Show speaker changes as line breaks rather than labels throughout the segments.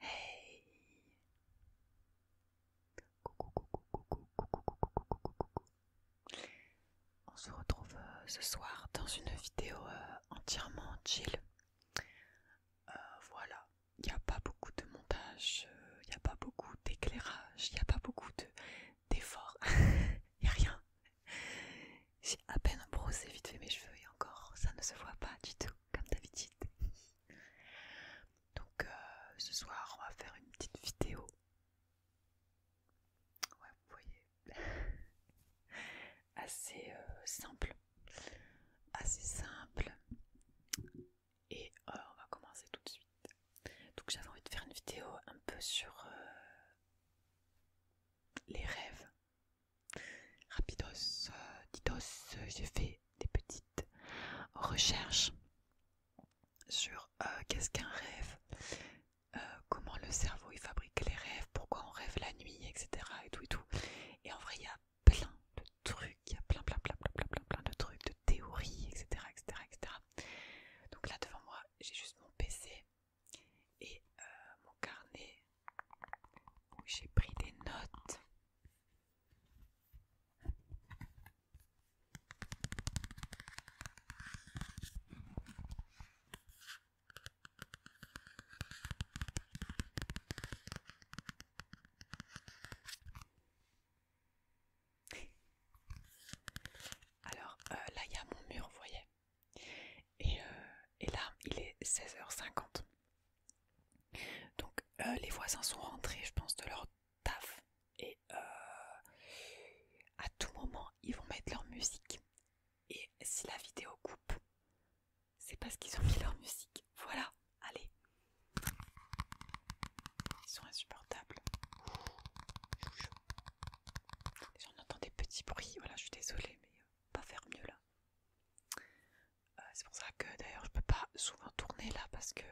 Hey On se retrouve euh, ce soir dans une vidéo euh, entièrement chill. Euh, voilà, il n'y a pas beaucoup de montage, il n'y a pas beaucoup d'éclairage, il n'y a pas beaucoup d'efforts, il n'y a rien. J'ai à peine brossé vite fait mes cheveux et encore ça ne se voit pas du tout comme d'habitude. Donc euh, ce soir, on va faire une petite vidéo. Ouais, vous voyez, assez euh, simple, assez simple. Et euh, on va commencer tout de suite. Donc j'avais envie de faire une vidéo un peu sur les rêves, Rapidos, ditos, j'ai fait des petites recherches sur euh, qu'est-ce qu'un rêve, euh, comment le cerveau il fabrique les rêves, pourquoi on rêve la nuit, etc. Et tout et tout. Et en vrai, il y a plein de trucs, il y a plein, plein, plein, plein, plein, plein, de trucs, de théories, etc., Donc là devant moi, j'ai juste mon PC et euh, mon carnet où j'ai pris des notes Alors euh, là, il y a mon mur, vous voyez. et euh, là, il est 16h50. Donc euh, les voisins sont rentrés, je pense, de leur taf et euh, à tout moment ils vont mettre leur musique. Et si la vidéo coupe, c'est parce qu'ils ont mis leur musique. Voilà, allez. Ils sont insupportables. J'en entends des petits bruits, voilà, je suis désolée, mais pas faire mieux là. Euh, c'est pour ça que d'ailleurs je peux pas souvent tourner là parce que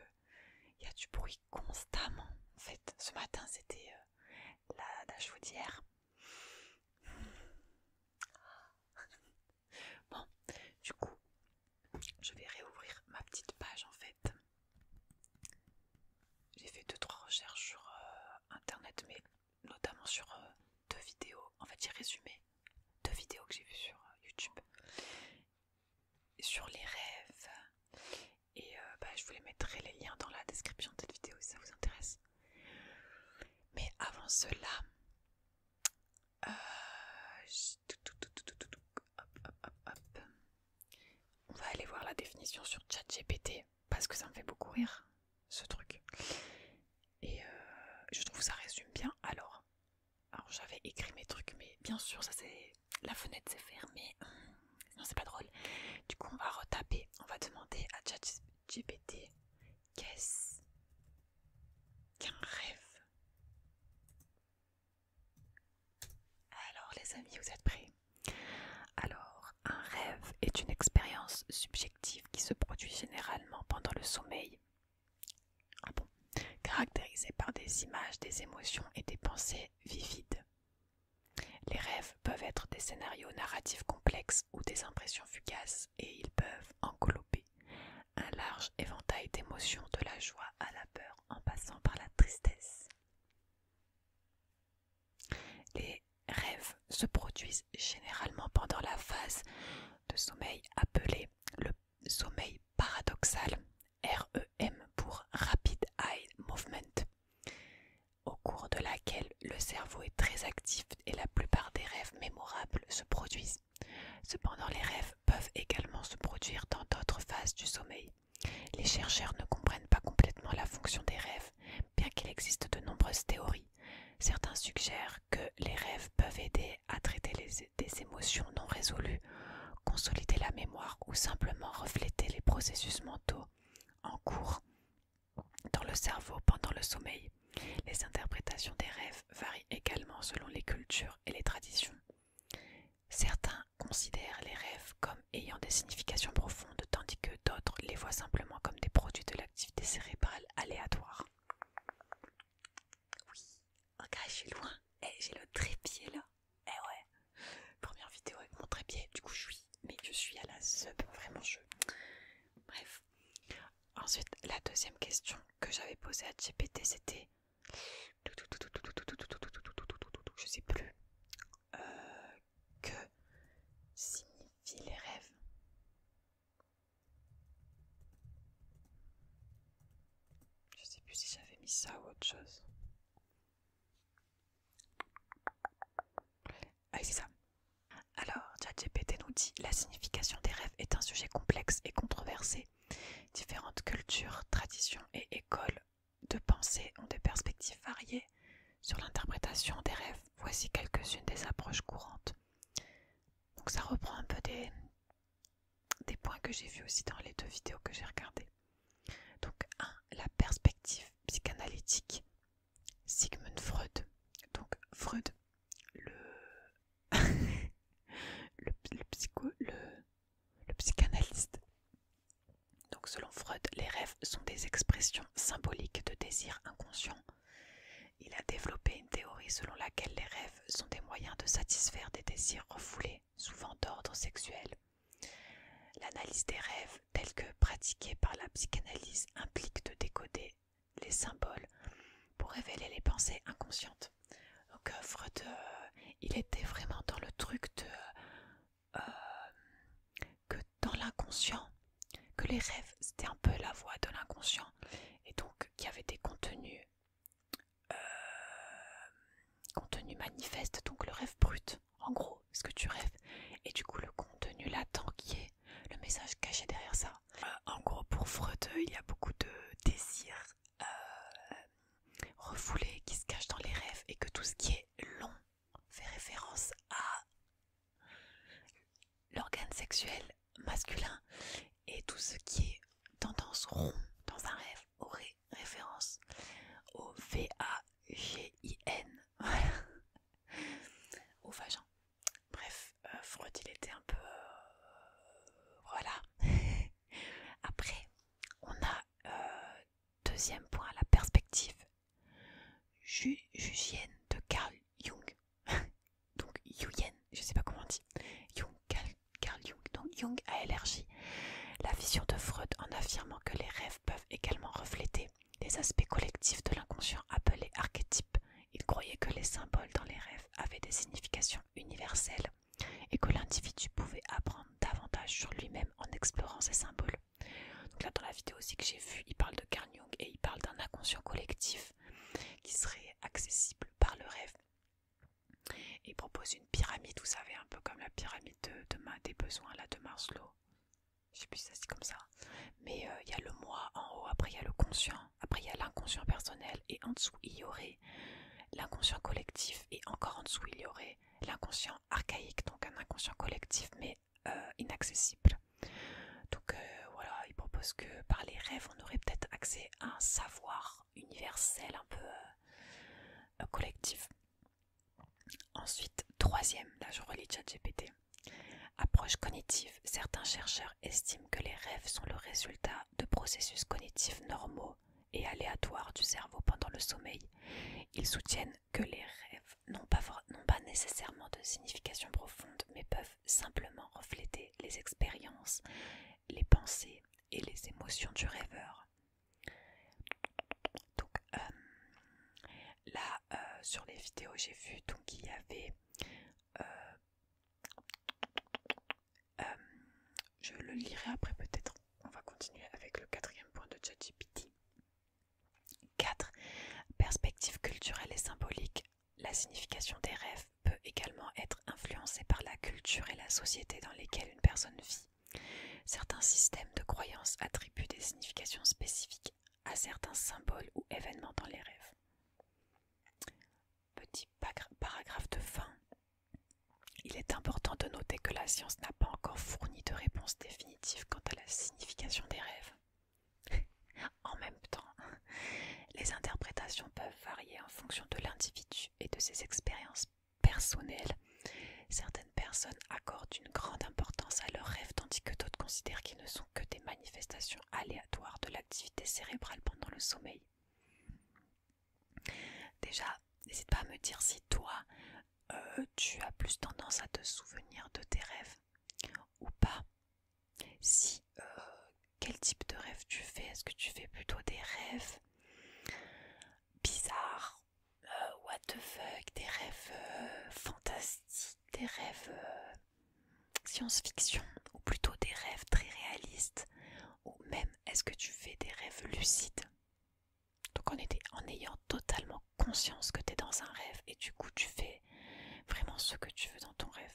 il y a du bruit constamment. En fait, ce matin c'était euh, la, la Bon, du coup, je vais réouvrir ma petite page en fait. J'ai fait deux trois recherches sur euh, internet, mais notamment sur deux vidéos. En fait, j'ai résumé deux vidéos que j'ai vues sur euh, YouTube sur les rêves et euh, bah, je vous les mettrai les liens dans la description de cette vidéo si ça vous intéresse. Mais avant cela, on va aller voir la définition sur ChatGPT parce que ça me fait beaucoup rire ce truc. Et euh, je trouve que ça résume bien. Alors, alors j'avais écrit mes trucs, mais bien sûr, ça c'est la fenêtre s'est fermée. Non, c'est pas drôle. Du coup, on va retaper. On va demander à ChatGPT qu'est-ce qu'un rêve. Alors les amis, vous êtes prêts Alors, un rêve est une expérience subjective qui se produit généralement pendant le sommeil ah Caractérisés par des images, des émotions et des pensées vivides. Les rêves peuvent être des scénarios narratifs complexes ou des impressions fugaces et ils peuvent englober un large éventail d'émotions de la joie à la peur en passant par la tristesse. Les rêves se produisent généralement pendant la phase de sommeil appelée le sommeil paradoxal, REM pour Rapid Eye Movement, au cours de laquelle le cerveau est très actif et la plupart des rêves mémorables se produisent. Cependant, les rêves peuvent également se produire dans d'autres phases du sommeil. Les chercheurs ne comprennent pas complètement la fonction des rêves, bien qu'il existe de nombreuses théories. Certains suggèrent que les rêves peuvent aider à traiter les des émotions non résolues, consolider la mémoire ou simplement refléter les processus mentaux en cours dans le cerveau pendant le sommeil. Les interprétations des rêves varient également selon les cultures et les traditions. Certains considèrent les rêves comme ayant des significations profondes, tandis que d'autres les voient simplement comme des produits de l'activité cérébrale aléatoire. Oui. Ok, oh, je suis loin. Eh, j'ai le trépied là. Eh ouais. Première vidéo avec mon trépied. Du coup, je suis. Mais je suis à la sub. Vraiment, je. Bref. Ensuite, la deuxième question que j'avais posée à GPT, c'était. Je sais plus. Euh, que signifient les rêves je sais plus si j'avais mis ça ou autre chose. Ah c'est ça. Alors, ChatGPT nous dit la signification des rêves est un sujet complexe et controversé. Différentes cultures, traditions et écoles de pensée ont des perspectives variées sur l'interprétation des rêves. Voici quelques-unes des approches courantes. Donc ça reprend un peu des, des points que j'ai vus aussi dans les deux vidéos que j'ai regardées. Donc, 1. La perspective psychanalytique. Sigmund Freud. Donc, Freud, le, psycho, le psychanalyste. Donc, selon Freud, les rêves sont des expressions symboliques de désirs inconscients. Il a développé une théorie selon laquelle les rêves sont des moyens de satisfaire des désirs refoulés, souvent d'ordre sexuel. L'analyse des rêves, telle que pratiquée par la psychanalyse, implique de décoder les symboles pour révéler les pensées inconscientes. Donc euh, Freud, euh, il était vraiment dans le truc de... Euh, que dans l'inconscient, que les rêves, c'était un peu la voix de l'inconscient, et donc qu'il y avait des contenus euh, contenu manifeste, donc le rêve brut, en gros, ce que tu rêves, et du coup le contenu latent qui est le message caché derrière ça. Euh, en gros, pour Freud, il y a beaucoup de désirs euh, refoulés qui se cachent dans les rêves et que tout ce qui est long fait référence à l'organe sexuel masculin et tout ce qui est tendance rond dans un rêve aurait référence au V-A-G-I-N. Voilà. Au vagin. Bref, euh, Freud il était un peu... Euh, voilà. Après, on a euh, deuxième point, la perspective de Carl Jung. Donc Jung je sais pas comment on dit. Jung, Carl Carl Jung. Jung a élargi la vision de Freud en affirmant que les rêves peuvent également refléter les aspects collectifs de l'inconscient appelés archétypes. Il croyait que les symboles dans les rêves avaient des significations universelles et que l'individu pouvait apprendre davantage sur lui-même en explorant ces symboles. Donc là, dans la vidéo aussi que j'ai vue, il parle de Carl Jung et il parle d'un inconscient collectif qui serait accessible par le rêve. Il propose une pyramide, vous savez, un peu comme la pyramide de, des besoins là, de Maslow. Je sais plus si ça c'est comme ça. Mais euh, il y a le moi en haut, après il y a le conscient, après il y a l'inconscient personnel, et en dessous il y aurait l'inconscient collectif, et encore en dessous il y aurait l'inconscient archaïque, donc un inconscient collectif mais euh, inaccessible. Donc euh, voilà, il propose que par les rêves on aurait peut-être accès à un savoir universel, un peu euh, collectif. Ensuite, troisième, là je relis ChatGPT. Approche cognitive. Certains chercheurs estiment que les rêves sont le résultat de processus cognitifs normaux et aléatoires du cerveau pendant le sommeil. Ils soutiennent que les rêves n'ont pas, pas nécessairement de signification profonde, mais peuvent simplement refléter les expériences, les pensées et les émotions du rêveur. Donc euh, là, euh, sur les vidéos, j'ai vu donc il y avait, euh, je le lirai après peut-être. On va continuer avec le quatrième point de ChatGPT. 4. Perspective culturelle et symbolique. La signification des rêves peut également être influencé par la culture et la société dans lesquelles une personne vit. Certains systèmes de croyances attribuent des significations spécifiques à certains symboles ou événements dans les rêves. Petit paragraphe de fin. Il est important de noter que la science n'a pas encore fourni de réponse définitive quant à la signification des rêves. en même temps, les interprétations peuvent variés en fonction de l'individu et de ses expériences personnelles. Certaines personnes accordent une grande importance à leurs rêves tandis que d'autres considèrent qu'ils ne sont que des manifestations aléatoires de l'activité cérébrale pendant le sommeil. Déjà, n'hésite pas à me dire si toi, euh, tu as plus tendance à te souvenir de tes rêves ou pas. Si euh, quel type de rêve tu fais Est-ce que tu fais plutôt des rêves bizarres euh, What the fuck Des rêves euh, fantastiques Des rêves euh, science-fiction Ou plutôt des rêves très réalistes Ou même est-ce que tu fais des rêves lucides Donc en, était, en ayant totalement conscience que tu es dans un rêve et du coup tu fais vraiment ce que tu veux dans ton rêve.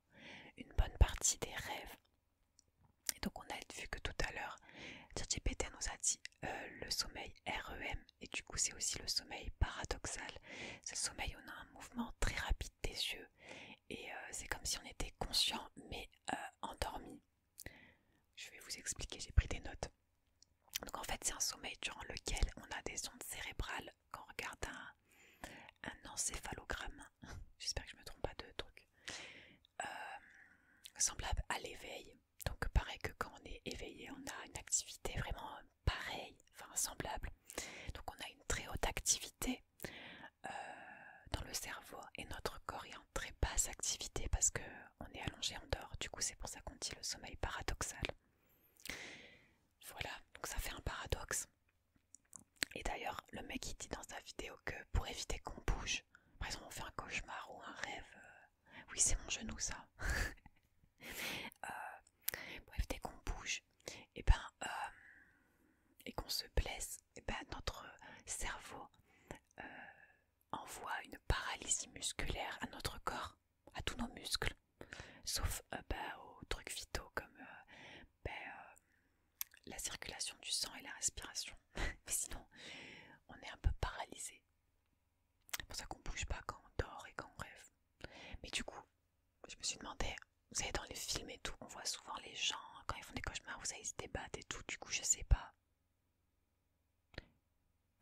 une bonne partie des rêves. Et donc on a vu que tout à l'heure, ChatGPT nous a dit euh, le sommeil REM et du coup c'est aussi le sommeil paradoxal. C'est le sommeil où on a un mouvement très rapide des yeux et euh, c'est comme si on était conscient mais euh, endormi. Je vais vous expliquer, j'ai pris des notes. Donc en fait c'est un sommeil durant lequel on a des ondes cérébrales quand on regarde un, encéphalogramme, j'espère que je me trompe pas de truc, euh, semblable à l'éveil. Donc pareil que quand on est éveillé, on a une activité vraiment pareille, enfin semblable. Donc on a une très haute activité euh, dans le cerveau et notre corps est en très basse activité parce que on est allongé en dehors. Du coup c'est pour ça qu'on dit le sommeil paradoxal. Voilà, donc ça fait un paradoxe. Et d'ailleurs, le mec il dit dans sa vidéo que pour éviter qu'on bouge, par exemple on fait un cauchemar ou un rêve, euh, oui c'est mon genou ça, euh, pour éviter qu'on bouge, eh ben, euh, et qu'on se blesse, et eh ben notre cerveau envoie une paralysie musculaire à notre corps, à tous nos muscles. Sauf euh, bah, aux trucs vitaux comme euh, bah, euh, la circulation du sang et la respiration. Mais sinon, on est un peu paralysé. C'est pour ça qu'on bouge pas quand on dort et quand on rêve. Mais du coup, je me suis demandé, vous savez, dans les films et tout, on voit souvent les gens, quand ils font des cauchemars, vous savez, ils se débattent et tout. Du coup, je sais pas.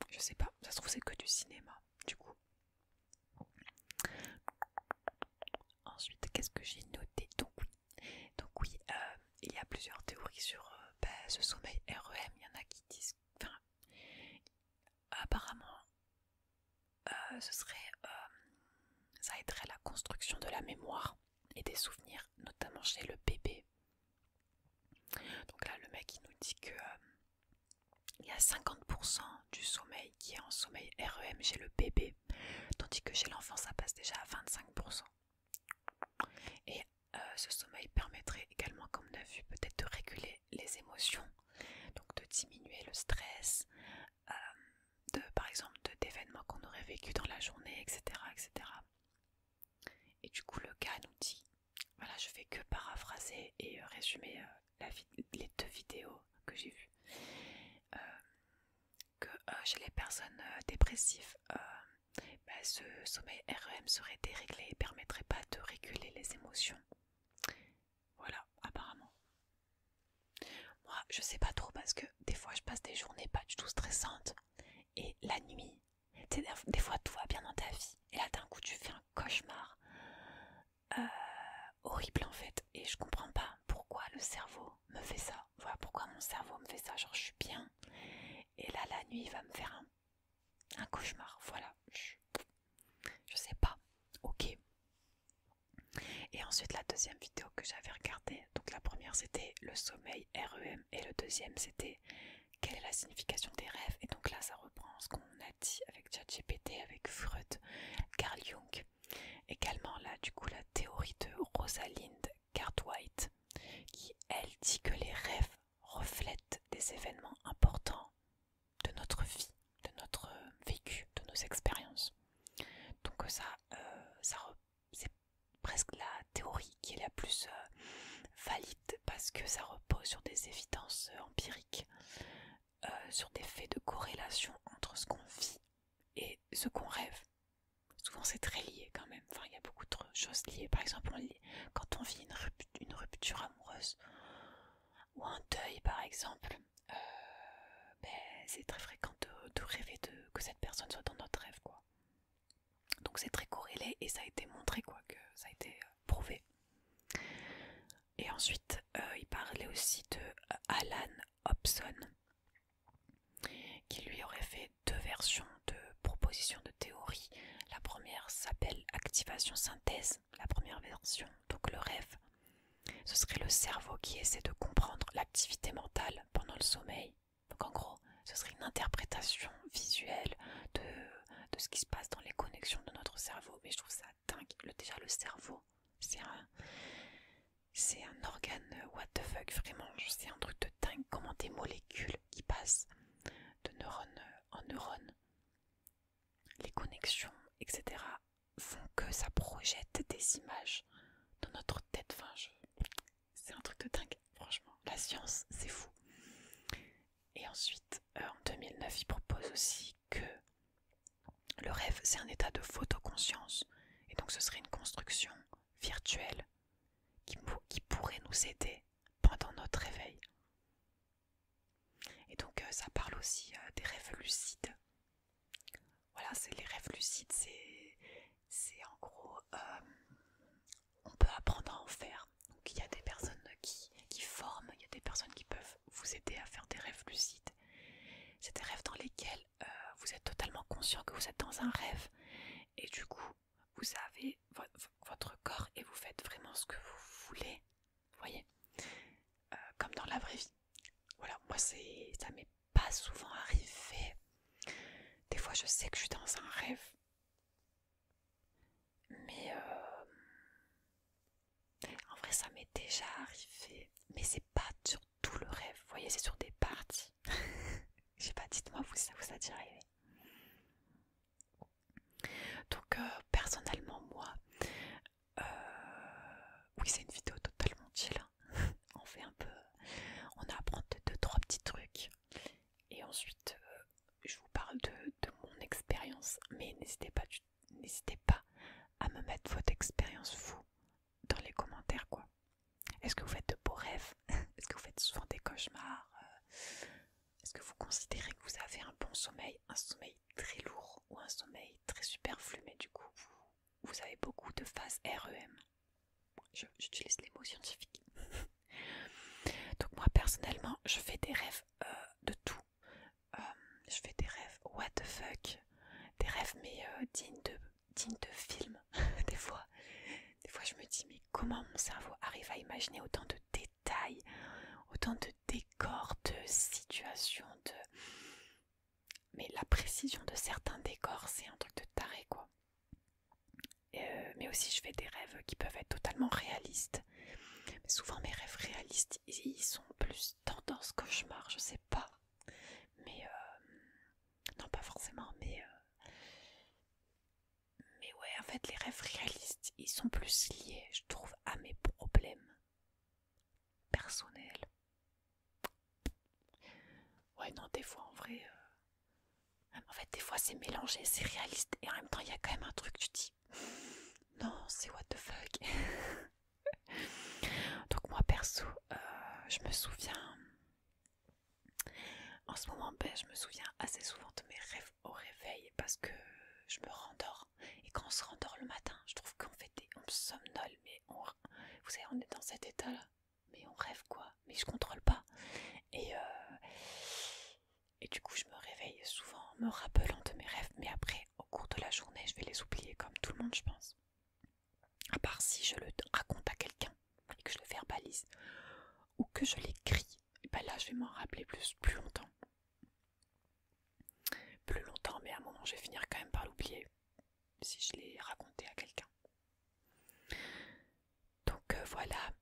Je sais pas, ça se trouve, c'est que du cinéma, du coup. Ensuite, qu'est-ce que j'ai noté Donc oui, donc, oui euh, il y a plusieurs théories sur euh, bah, ce sommeil REM. Il y en a qui disent... apparemment, euh, ce serait... ça aiderait la construction de la mémoire et des souvenirs, notamment chez le bébé. Donc là, le mec, nous dit que il y a 50% du sommeil qui est en sommeil REM chez le bébé, tandis que chez l'enfant ça passe déjà à 25%. Et euh, ce sommeil permettrait également, comme on a vu, peut-être de réguler les émotions, donc de diminuer le stress, euh, de, par exemple d'événements qu'on aurait vécu dans la journée, etc., etc. Et du coup le cas nous dit, voilà je vais que paraphraser et euh, résumer les deux vidéos que j'ai vues, euh, que euh, chez les personnes euh, dépressives, bah, ce sommeil REM serait déréglé et permettrait pas de réguler les émotions. Voilà, apparemment. Moi, je sais pas trop parce que des fois, je passe des journées pas du tout stressantes et la nuit, des fois, tout va bien dans ta vie et là, d'un coup, tu fais un cauchemar euh, horrible en fait et je comprends pas pourquoi le cerveau me fait ça voilà pourquoi mon cerveau me fait ça genre je suis bien et là la nuit il va me faire un, un cauchemar voilà je, sais pas ok et ensuite la deuxième vidéo que j'avais regardée donc la première c'était le sommeil REM et le deuxième c'était quelle est la signification des rêves et donc là ça reprend ce qu'on a dit avec GPT avec Freud Carl Jung Également là, du coup, la théorie de Rosalind Cartwright, qui elle dit que les rêves reflètent des événements importants de notre vie, de notre vécu, de nos expériences. Donc ça, euh, c'est presque la théorie qui est la plus euh, valide parce que ça repose sur des évidences euh, empiriques. Euh, sur des faits de corrélation entre ce qu'on vit et ce qu'on rêve. Souvent c'est très lié quand même, enfin il y a beaucoup de choses liées. Par exemple, quand on vit une, rupture amoureuse ou un deuil par exemple, euh, ben, c'est très fréquent de, rêver de, que cette personne soit dans notre rêve. Donc c'est très corrélé et ça a été montré, quoi, que ça a été euh, prouvé. Et ensuite, il parlait aussi de Alan Hobson, qui lui aurait fait deux versions de propositions de théorie. La première s'appelle activation synthèse, la première version, donc le rêve. Ce serait le cerveau qui essaie de comprendre l'activité mentale pendant le sommeil. Donc en gros, ce serait une interprétation visuelle de, de ce qui se passe dans les connexions de notre cerveau. Mais je trouve ça dingue. Le, déjà, le cerveau, c'est un, c'est un organe euh, what the fuck, vraiment. C'est un truc de dingue. Comment des molécules qui passent de neurone euh, en neurone, les connexions, etc., font que ça projette des images dans notre tête. Enfin, c'est un truc de dingue, franchement. La science, c'est fou. Et ensuite, euh, en 2009, il propose aussi que le rêve, c'est un état de photoconscience, et donc ce serait une construction virtuelle qui, pourrait nous aider pendant notre réveil. Et donc euh, ça parle aussi euh, des rêves lucides. Voilà, c'est les rêves lucides, c'est en gros, euh, on peut apprendre à en faire. Donc il y a des personnes qui forment, il y a des personnes qui peuvent vous aider à faire des rêves lucides. C'est des rêves dans lesquels euh, vous êtes totalement conscient que vous êtes dans un rêve et du coup vous avez votre corps et vous faites vraiment ce que vous voulez, Vous voyez, euh, comme dans la vraie vie. Voilà, moi c'est ça m'est pas souvent arrivé. Des fois je sais que je suis dans un rêve, mais euh, en vrai, ça m'est déjà arrivé, mais c'est pas sur tout le rêve. Vous voyez, c'est sur des parties. Je sais pas, dites-moi, vous, ça vous a déjà arrivé. Donc, euh, personnellement, moi, euh, oui, c'est une vidéo totalement chill. Hein. on fait un peu, on apprend deux, trois petits trucs. Et ensuite, euh, je vous parle de, mon expérience. Mais n'hésitez pas, n'hésitez pas à me mettre votre expérience, vous, dans les commentaires quoi. Est-ce que vous faites de beaux rêves Est-ce que vous faites souvent des cauchemars euh? Est-ce que vous considérez que vous avez un bon sommeil, un sommeil très lourd ou un sommeil très superflu mais du coup vous, avez beaucoup de phases REM J'utilise les mots scientifiques. Donc moi personnellement je fais des rêves euh, de tout. Euh, je fais des rêves what the fuck des rêves mais euh, dignes, de, dignes de films. des fois, des fois je me dis mais comment mon cerveau arrive à imaginer autant de détails, autant de décors, de situations, de... Mais la précision de certains décors, c'est un truc de taré quoi. Euh, mais aussi je fais des rêves qui peuvent être totalement réalistes. Mais souvent mes rêves réalistes, ils sont plus tendance cauchemar, je sais pas. Mais euh, non, pas forcément, mais euh, mais ouais, en fait, les rêves réalistes, ils sont plus liés, je trouve, à mes problèmes personnels. Ouais, non, des fois, en vrai, euh, en fait, des fois, c'est mélangé, c'est réaliste, et en même temps, il y a quand même un truc, tu dis, non, c'est what the fuck. Donc moi perso, euh, je me souviens, en ce moment, ben, je me souviens assez souvent de mes rêves au réveil parce que je me rendors. Et quand on se rendort le matin, je trouve qu'en fait des... On somnole, mais on... Vous savez, on est dans cet état-là. Mais on rêve quoi Mais je contrôle pas. Et, euh, et du coup, je me réveille souvent en me rappelant de mes rêves. Mais après, au cours de la journée, je vais les oublier comme tout le monde, je pense à part si je le raconte à quelqu'un et que je le verbalise ou que je l'écris, ben là je vais m'en rappeler plus, longtemps. Plus longtemps, mais à un moment je vais finir quand même par l'oublier si je l'ai raconté à quelqu'un. Donc euh, voilà,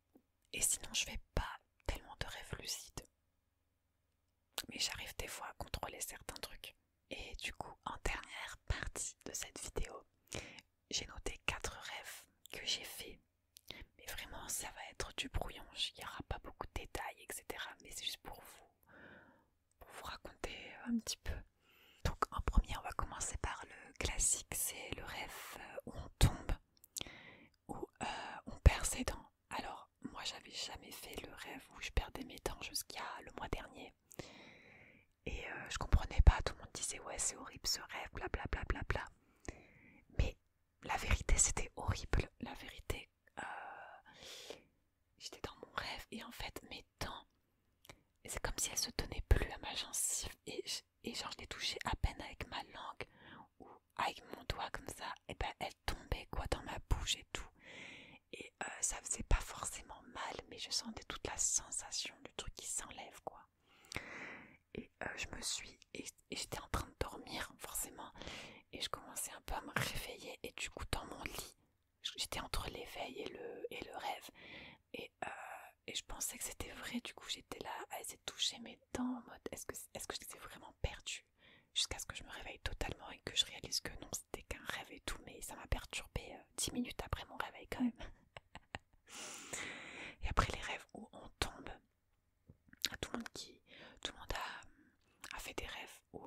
et sinon je fais pas tellement de rêves lucides. Mais j'arrive des fois à contrôler certains trucs. Et du coup, en dernière partie de cette vidéo, j'ai noté quatre rêves que j'ai faits. Mais vraiment, ça va être du brouillon, il n'y aura pas beaucoup de détails, etc. Mais c'est juste pour vous, pour vous raconter un petit peu. Donc en premier, on va commencer par le classique, c'est le rêve euh, où on tombe, où euh, on perd ses dents. Alors moi, j'avais jamais fait le rêve où je perdais mes dents jusqu'à le mois dernier. Et euh, je comprenais pas, tout le monde disait ouais c'est horrible ce rêve, blablabla. Bla, bla, bla, bla. Mais la vérité c'était horrible, la vérité, euh, j'étais dans mon rêve et en fait mes dents, c'est comme si elles se tenaient plus à ma gencive et, et genre je les touchais à peine avec ma langue ou avec mon doigt comme ça, et ben elles tombaient quoi dans ma bouche et tout et euh, ça faisait pas forcément mal mais je sentais toute la sensation du truc qui s'enlève quoi et euh, je me suis et, j'étais en train de dormir forcément et je commençais un peu à me réveiller et du coup dans mon lit j'étais entre l'éveil et le, et le rêve et, euh, et je pensais que c'était vrai du coup j'étais là à essayer de toucher mes dents en mode est-ce que, est -ce que je vraiment perdue jusqu'à ce que je me réveille totalement et que je réalise que non dès qu'un rêve et tout, mais ça m'a perturbé euh, dix 10 minutes après mon réveil quand même. et après les rêves où on tombe, tout le monde tout monde a, fait des rêves euh,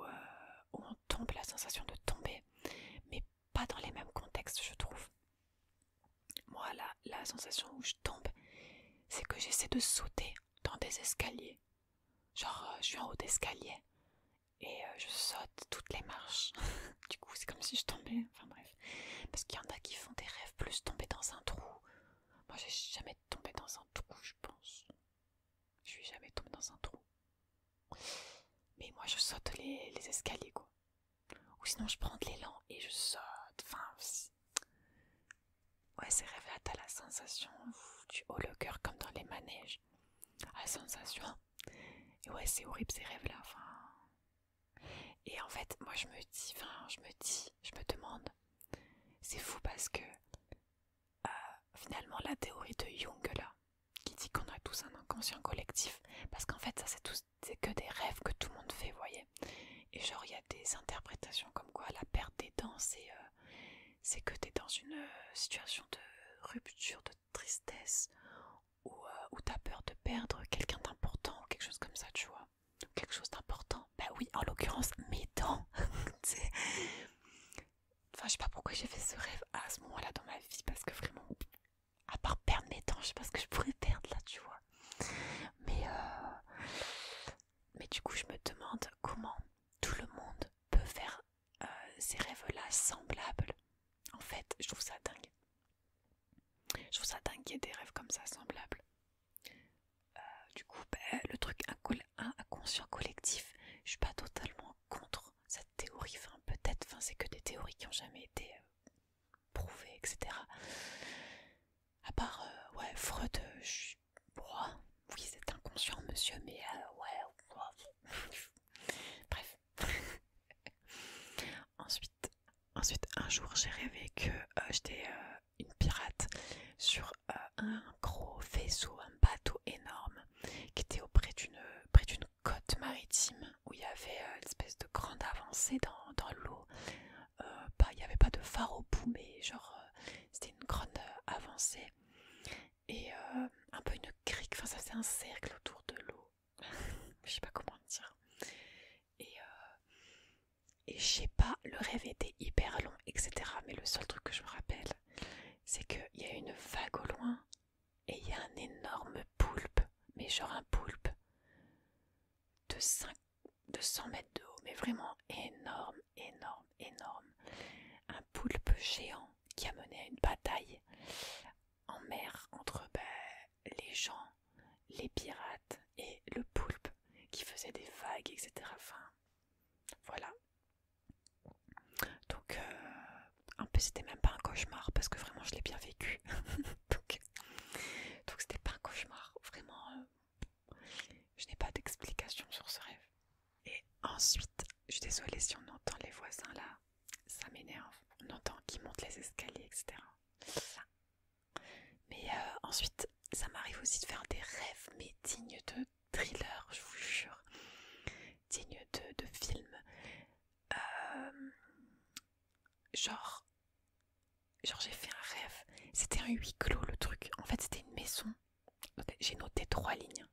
où, on tombe, la sensation de tomber, mais pas dans les mêmes contextes, je trouve. Moi, la, sensation où je tombe, c'est que j'essaie de sauter dans des escaliers. Genre, euh, je suis en haut d'escalier et euh, je saute toutes les marches. du coup, c'est comme si je tombais. Enfin bref, parce qu'il y en a qui font des rêves plus tomber dans un trou. Moi, j'ai jamais tombé dans un trou, je pense. Je suis jamais tombée dans un trou. Mais moi, je saute les, escaliers, quoi. Ou sinon, je prends de l'élan et je saute. Enfin, ouais, c'est rêves-là, la sensation, tu haut le cœur comme dans les manèges. La sensation et ouais, c'est horrible ces rêves-là. Et en fait, moi je me dis, je me demande, c'est fou parce que euh, finalement la théorie de Jung là, qui dit qu'on a tous un inconscient collectif, parce qu'en fait ça c'est que des rêves que tout le monde fait, voyez. Et genre il y a des interprétations comme quoi la perte des dents c'est que euh, que t'es dans une euh, situation de rupture, de tristesse euh, ou, t'as peur de perdre quelqu'un d'important ou quelque chose comme ça, tu vois. Quelque chose d'important. Bah oui, en l'occurrence, mes dents. enfin, je sais pas pourquoi j'ai fait ce rêve à ce moment-là dans ma vie parce que vraiment, à part perdre mes dents, je sais pas ce que je pourrais perdre là, tu vois. Mais, euh, Mais du coup, je me demande comment tout le monde peut faire euh, ces rêves-là semblables. En fait, je trouve ça dingue. Je trouve ça dingue qu'il y ait des rêves comme ça semblables. Euh, du coup, ben, le truc inconscient collectif, je suis pas totalement contre cette théorie. Enfin, peut-être, enfin, c'est que des théories qui n'ont jamais été euh, prouvées, etc. À part, ouais, Freud, je suis. oui, c'est inconscient, monsieur, mais ouais, bref. ensuite, un jour, j'ai rêvé que euh, j'étais euh, une pirate sur euh, un gros vaisseau, un bateau énorme qui était auprès d'une côte maritime où il y avait une espèce de grande avancée dans, l'eau. Il n'y avait pas de phare au bout, mais genre c'était une grande avancée et euh, un peu une crique, enfin ça c'est un cercle autour de l'eau, je sais pas comment dire. Euh, et, je sais pas, le rêve était hyper long, etc. Mais le seul truc que je me rappelle, c'est qu'il y a une vague au loin et il y a un énorme poulpe, mais genre un poulpe de, de 100 mètres de haut, mais vraiment énorme, énorme, énorme. Un poulpe géant qui a mené à une bataille en mer entre bah, les gens, les pirates et le poulpe qui faisait des vagues, etc. Enfin, voilà. Donc, euh, un peu, c'était même pas un cauchemar parce que vraiment je l'ai bien vécu. donc, c'était pas un cauchemar. Vraiment, euh, je n'ai pas d'explication sur ce rêve. Et ensuite, je suis désolée si on entend les voisins là ça m'énerve. On entend qu'ils monte les escaliers, etc. Mais euh, ensuite, ça m'arrive aussi de faire des rêves, mais dignes de thriller, je vous jure. Dignes de, film euh, genre, genre j'ai fait un rêve. C'était un huis clos le truc. En fait, c'était une maison. J'ai noté trois lignes.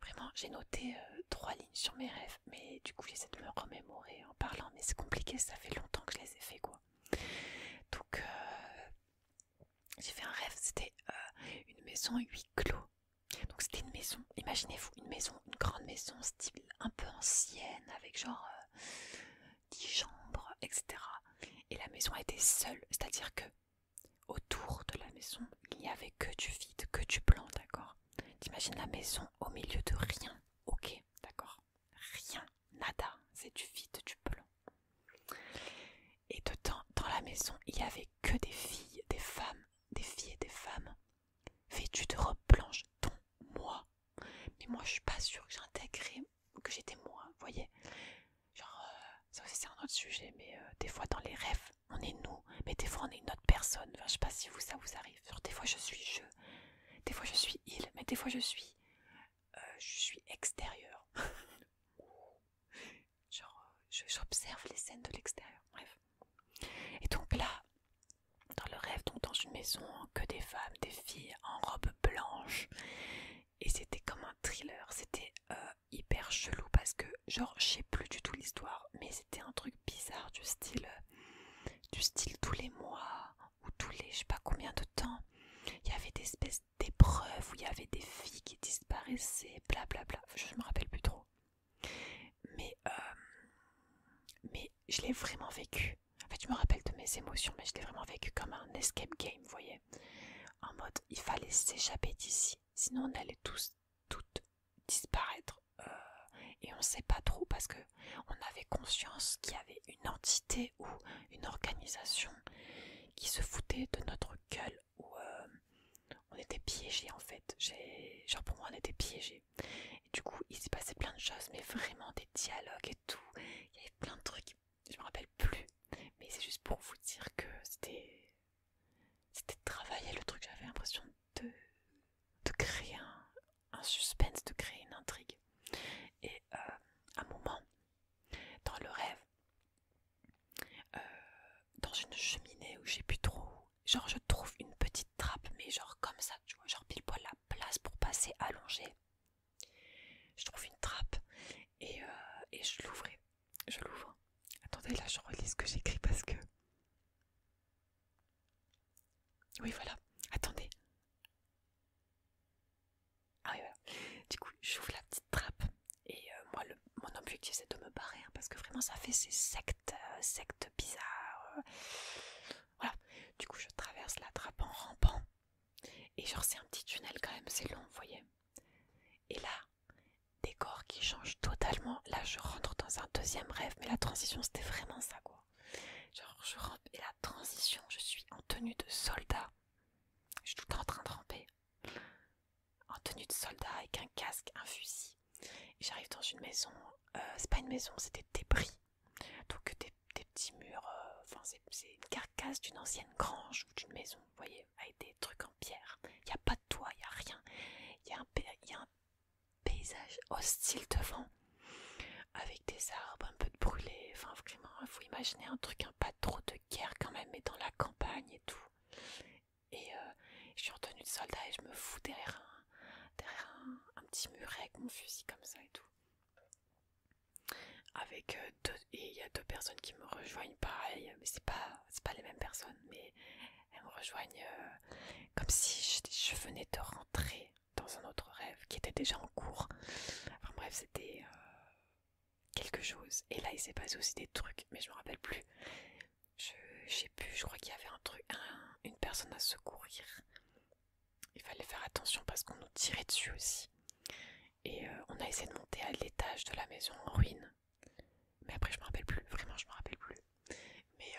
Vraiment, j'ai noté euh, trois lignes sur mes rêves, mais du coup j'essaie de me remémorer en parlant, mais c'est compliqué, ça fait longtemps que je les ai fait quoi. Donc euh, j'ai fait un rêve, c'était euh, une maison huis clos. Donc c'était une maison, imaginez-vous, une maison, une grande maison style un peu ancienne, avec genre dix 10 chambres, etc. Et la maison était seule, c'est-à-dire que autour de la maison, il n'y avait que du vide, que du blanc, d'accord T'imagines la maison au milieu de rien. Ok, d'accord. Rien, nada, c'est du vide, du pelon Et dedans, dans la maison, il y avait que des filles, des femmes, des filles et des femmes vêtues de robes blanches, Ton moi. Mais moi, je suis pas sûre que j'ai intégré que j'étais moi, voyez. Genre, euh, aussi c'est un autre sujet, mais euh, des fois dans les rêves, on est nous, mais des fois on est une autre personne. je sais pas si vous ça vous arrive. des fois je suis je, des fois je suis il, mais des fois je suis, euh, je suis extérieur. Genre, euh, j'observe les scènes de l'extérieur. Bref. Et donc là, dans le rêve, dans une maison, que des femmes, des filles en robe blanche. Et c'était comme un thriller. C'était euh, hyper chelou parce que, genre, je sais plus du tout l'histoire, mais c'était un truc bizarre du style euh, du style tous les mois ou tous les je sais pas combien de temps il y avait des espèces d'épreuves où il y avait des filles qui disparaissaient bla bla bla. je me rappelle plus trop mais euh, mais je l'ai vraiment vécu en fait je me rappelle de mes émotions mais je l'ai vraiment vécu comme un escape game vous voyez en mode il fallait s'échapper d'ici sinon on allait tous toutes disparaître euh, et on sait pas trop parce que on avait conscience qu'il y avait une entité ou une organisation qui se foutait de notre gueule ou euh, on était piégé en fait. Genre pour moi on était piégé Et du coup il s'est passé plein de choses mais vraiment des dialogues et tout. Il y avait plein de trucs, je me rappelle plus. Mais c'est juste pour vous dire que c'était... C'était travailler le truc, j'avais l'impression de, créer un, suspense, de créer une intrigue. Et euh, un moment, dans le rêve, euh, dans une cheminée où j'ai plus trop, genre je trouve une petite trappe, mais genre comme ça, tu vois, genre pile poil la place pour passer allongée. Je trouve une trappe et, euh, et je l'ouvre. Je l'ouvre. Attendez, là je relis ce que j'écris parce que oui, voilà. Attendez. Ah oui, voilà. Du coup, j'ouvre la petite trappe. Et euh, moi, mon objectif, c'est de me barrer. Hein, parce que vraiment, ça fait ces sectes, euh, sectes bizarres. Euh. voilà. Du coup, je traverse la trappe en rampant. Et genre, c'est un petit tunnel quand même. C'est long, vous voyez. Et là, décor qui change totalement. Là, je rentre dans un deuxième rêve mais la transition c'était vraiment ça quoi. Genre je rampe et la transition, je suis en tenue de soldat. Je suis tout le temps en train de ramper. En tenue de soldat avec un casque, un fusil. J'arrive dans une maison, euh, c'est pas une maison, c'est des débris. Donc euh, des, des petits murs, euh, c'est une carcasse d'une ancienne grange ou d'une maison, vous voyez, avec des trucs en pierre. Il y a pas de toit, il y a rien. Il y, y a un paysage hostile devant, avec des arbres un peu de brûlés. Enfin, vraiment, il faut imaginer un truc, un pas trop de guerre quand même, mais dans la campagne et tout. Et euh, je suis retenue de soldat et je me fous derrière un, petit muret avec mon fusil comme ça et tout. Avec euh, deux, et il y a deux personnes qui me rejoignent pareil, mais c'est pas, pas les mêmes personnes, mais elles me rejoignent euh, comme si je, venais de rentrer dans un autre rêve qui était déjà en cours. Enfin bref, c'était euh, quelque chose. Et là, il s'est passé aussi des trucs, mais je me rappelle plus. Je, pu, sais plus, je crois qu'il y avait un truc, une personne à secourir. Il fallait faire attention parce qu'on nous tirait dessus aussi. Et euh, on a essayé de monter à l'étage de la maison en ruine. Mais après, je me rappelle plus, vraiment, je me rappelle plus. Mais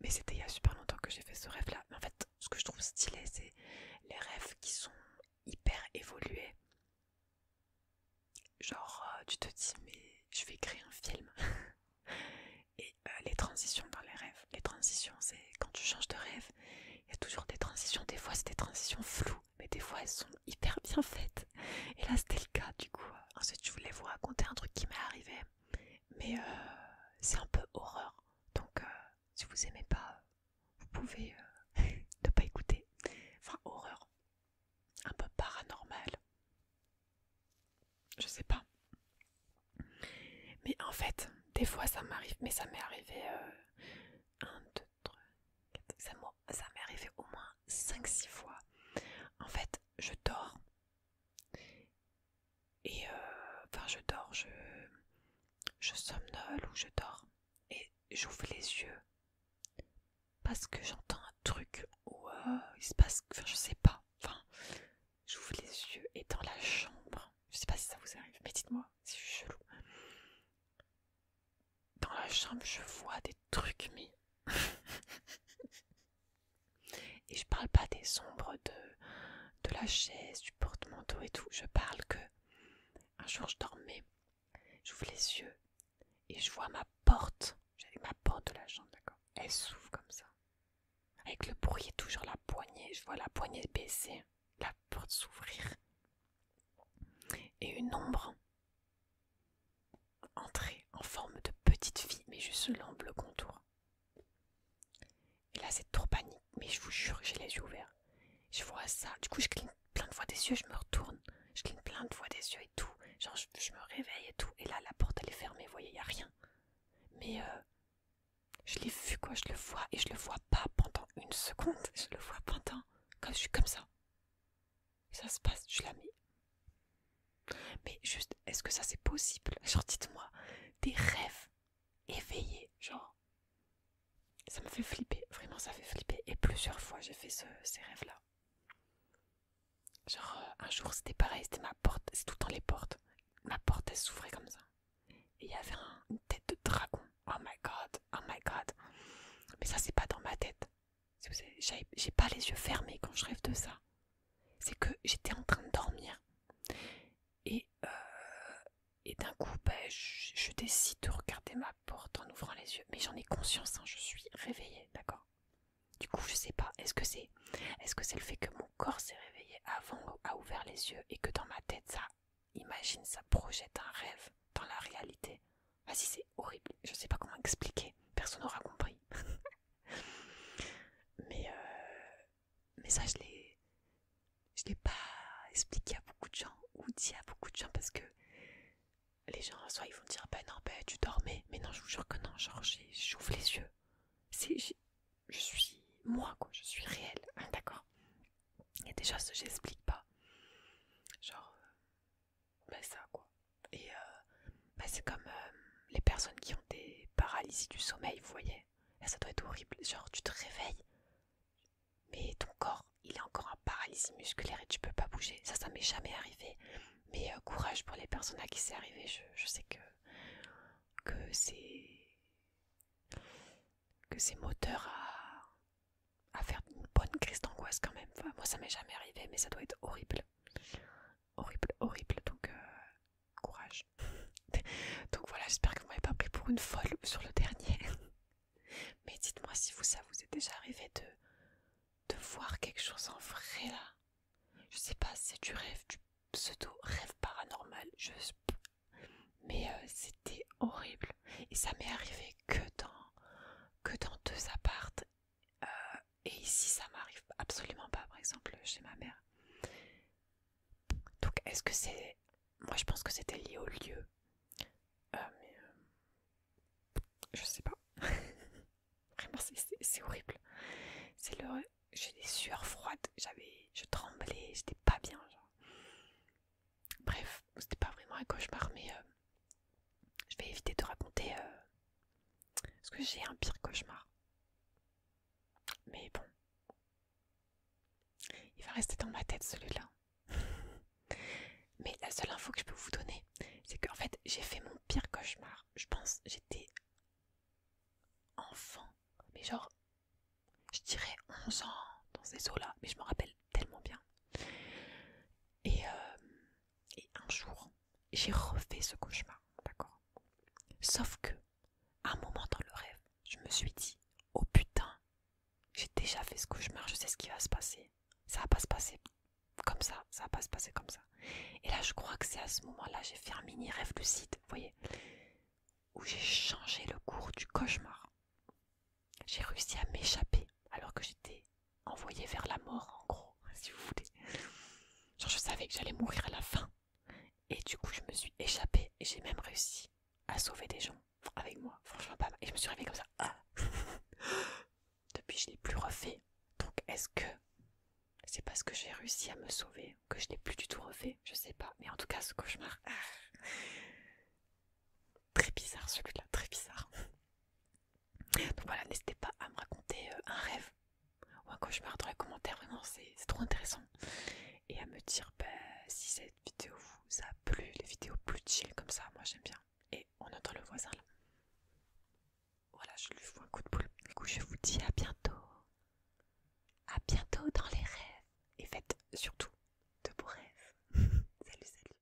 mais c'était il y a super longtemps que j'ai fait ce rêve là mais en fait ce que je trouve stylé c'est les rêves qui sont hyper évolués genre euh, tu te dis mais je vais créer un film et euh, les transitions dans les rêves les transitions c'est quand tu changes de rêve il y a toujours des transitions des fois c'est des transitions floues mais des fois elles sont hyper bien faites et là c'était le cas du coup ensuite je voulais vous raconter un truc qui m'est arrivé mais euh, c'est un peu horreur. Donc, euh, si vous aimez pas, vous pouvez euh, ne pas écouter. Enfin, horreur, un peu paranormal. Je sais pas. Mais en fait, des fois ça m'arrive, mais ça m'est arrivé un, deux, trois, quatre, ça m'est arrivé au moins 5-6 fois. En fait, je dors et euh, enfin, je dors, je, somnole ou je dors et j'ouvre les yeux parce que j'entends un truc Ou euh, il se passe, enfin, je sais pas. Enfin, j'ouvre les yeux et dans la chambre, je sais pas si ça vous arrive, mais dites-moi, c'est chelou. Dans la chambre, je vois des trucs, mais. Et je parle pas des ombres de, de la chaise, du porte-manteau et tout. Je parle que un jour je dormais, j'ouvre les yeux et je vois ma porte. J'avais ma porte de la chambre, d'accord Elle s'ouvre comme ça. Avec le bruit toujours la poignée. Je vois la poignée baisser, la porte s'ouvrir. Et une ombre entrer en forme de petite fille, mais juste l'ombre, le contour. Et là, c'est trop panique. Mais je vous jure, j'ai les yeux ouverts. Je vois ça. Du coup, je cligne plein de fois des yeux, je me retourne. Je cligne plein de fois des yeux et tout. Genre, je, me réveille et tout. Et là, la porte, elle est fermée. Vous voyez, il a rien. Mais euh, je l'ai vu, quoi. Je le vois. Et je le vois pas pendant une seconde. Je le vois pendant. Comme je suis comme ça. ça se passe. Je la mets mais juste, est-ce que ça c'est possible Genre, dites-moi, des rêves éveillés, genre. Ça me fait flipper, vraiment ça fait flipper. Et plusieurs fois j'ai fait ce, ces rêves-là. Genre, euh, un jour c'était pareil, c'était ma porte, c'est tout dans les portes. Ma porte elle s'ouvrait comme ça. Et il y avait une tête de dragon. Oh my god, oh my god. Mais ça c'est pas dans ma tête. J'ai pas les yeux fermés quand je rêve de ça c'est que j'étais en train de dormir et, euh, et d'un coup bah, je, décide de regarder ma porte en ouvrant les yeux mais j'en ai conscience hein, je suis réveillée d'accord du coup je sais pas est-ce que c'est est-ce que c'est le fait que mon corps s'est réveillé avant a ouvert les yeux et que dans ma tête ça imagine ça projette un rêve dans la réalité vas-y ah c'est horrible je ne sais pas comment expliquer personne n'aura compris Euh, mais, ça, je l'ai l'ai pas expliqué à beaucoup de gens ou dit à beaucoup de gens parce que les gens, soit ils vont dire ben non, ben tu dormais, mais non, je vous jure que non, genre j'ouvre les yeux. je suis moi, quoi, je suis réelle, hein, d'accord Il y a des choses que j'explique pas. Genre, ben ça, quoi. Et, euh, bah, c'est comme euh, les personnes qui ont des paralysies du sommeil, vous voyez. ça doit être horrible. Genre, tu te réveilles, mais ton corps, il est encore en paralysie musculaire et tu peux pas bouger. Ça, ça m'est jamais arrivé. Mais euh, courage pour les personnes à qui c'est arrivé. Je, sais que, que c'est que c'est moteur à, faire une bonne crise d'angoisse quand même. moi, ça m'est jamais arrivé, mais ça doit être horrible horrible, horrible. Donc, euh, courage. Donc voilà, j'espère que vous m'avez pas pris pour une folle sur le dernier. Mais dites-moi si vous, ça vous est déjà arrivé de, de voir quelque chose en vrai là. Je sais pas, c'est du rêve, du pseudo rêve paranormal. Je... Mais euh, c'était horrible. Et ça m'est arrivé que dans, que dans deux appartes. Euh, et ici ça m'arrive absolument pas par exemple chez ma mère. Donc est-ce que c'est... Moi je pense que c'était lié au lieu. Euh, mais... Euh, je sais pas. Vraiment c'est horrible. C'est le... J'ai des sueurs froides, j'avais... Je tremblais, j'étais pas bien. Bref, c'était pas vraiment un cauchemar mais... Euh, je vais éviter de raconter... Parce que j'ai un pire cauchemar. Mais bon. Il va rester dans ma tête celui-là. Mais la seule info que je peux vous donner, c'est qu'en fait, j'ai fait mon pire cauchemar. Je pense, j'étais enfant. Mais genre, je dirais 11 ans dans ces eaux-là. Mais je me rappelle tellement bien. Et, euh, et un jour, j'ai refait ce cauchemar, d'accord Sauf que, à un moment dans le rêve, je me suis dit, oh putain, j'ai déjà fait ce cauchemar, je sais ce qui va se passer. Ça va pas se passer comme ça, ça va pas se passer comme ça. Et là, je crois que c'est à ce moment-là, j'ai fait un mini rêve lucide, vous voyez, où j'ai changé le cours du cauchemar. J'ai réussi à m'échapper alors que j'étais envoyée vers la mort, en gros, si vous voulez. Genre, je savais que j'allais mourir à la fin. Et du coup, je me suis échappée et j'ai même réussi à sauver des gens avec moi. Franchement, pas mal. Et je me suis réveillée comme ça. Ah. Depuis, je l'ai plus refait. Donc, est-ce que c'est parce que j'ai réussi à me sauver que je l'ai plus du tout refait Je sais pas. Mais en tout cas, ce cauchemar. Ah. très bizarre celui-là, très bizarre. Donc voilà, n'hésitez pas à me raconter euh, un rêve ou un cauchemar dans les commentaires, vraiment c'est trop intéressant. Et à me dire bah, si cette vidéo vous a plu, les vidéos plus chill comme ça, moi j'aime bien. Et on entend le voisin là. Voilà, je lui fous un coup de poule Du coup, je vous dis à bientôt. À bientôt dans les rêves. Et faites surtout de beaux rêves. salut, salut.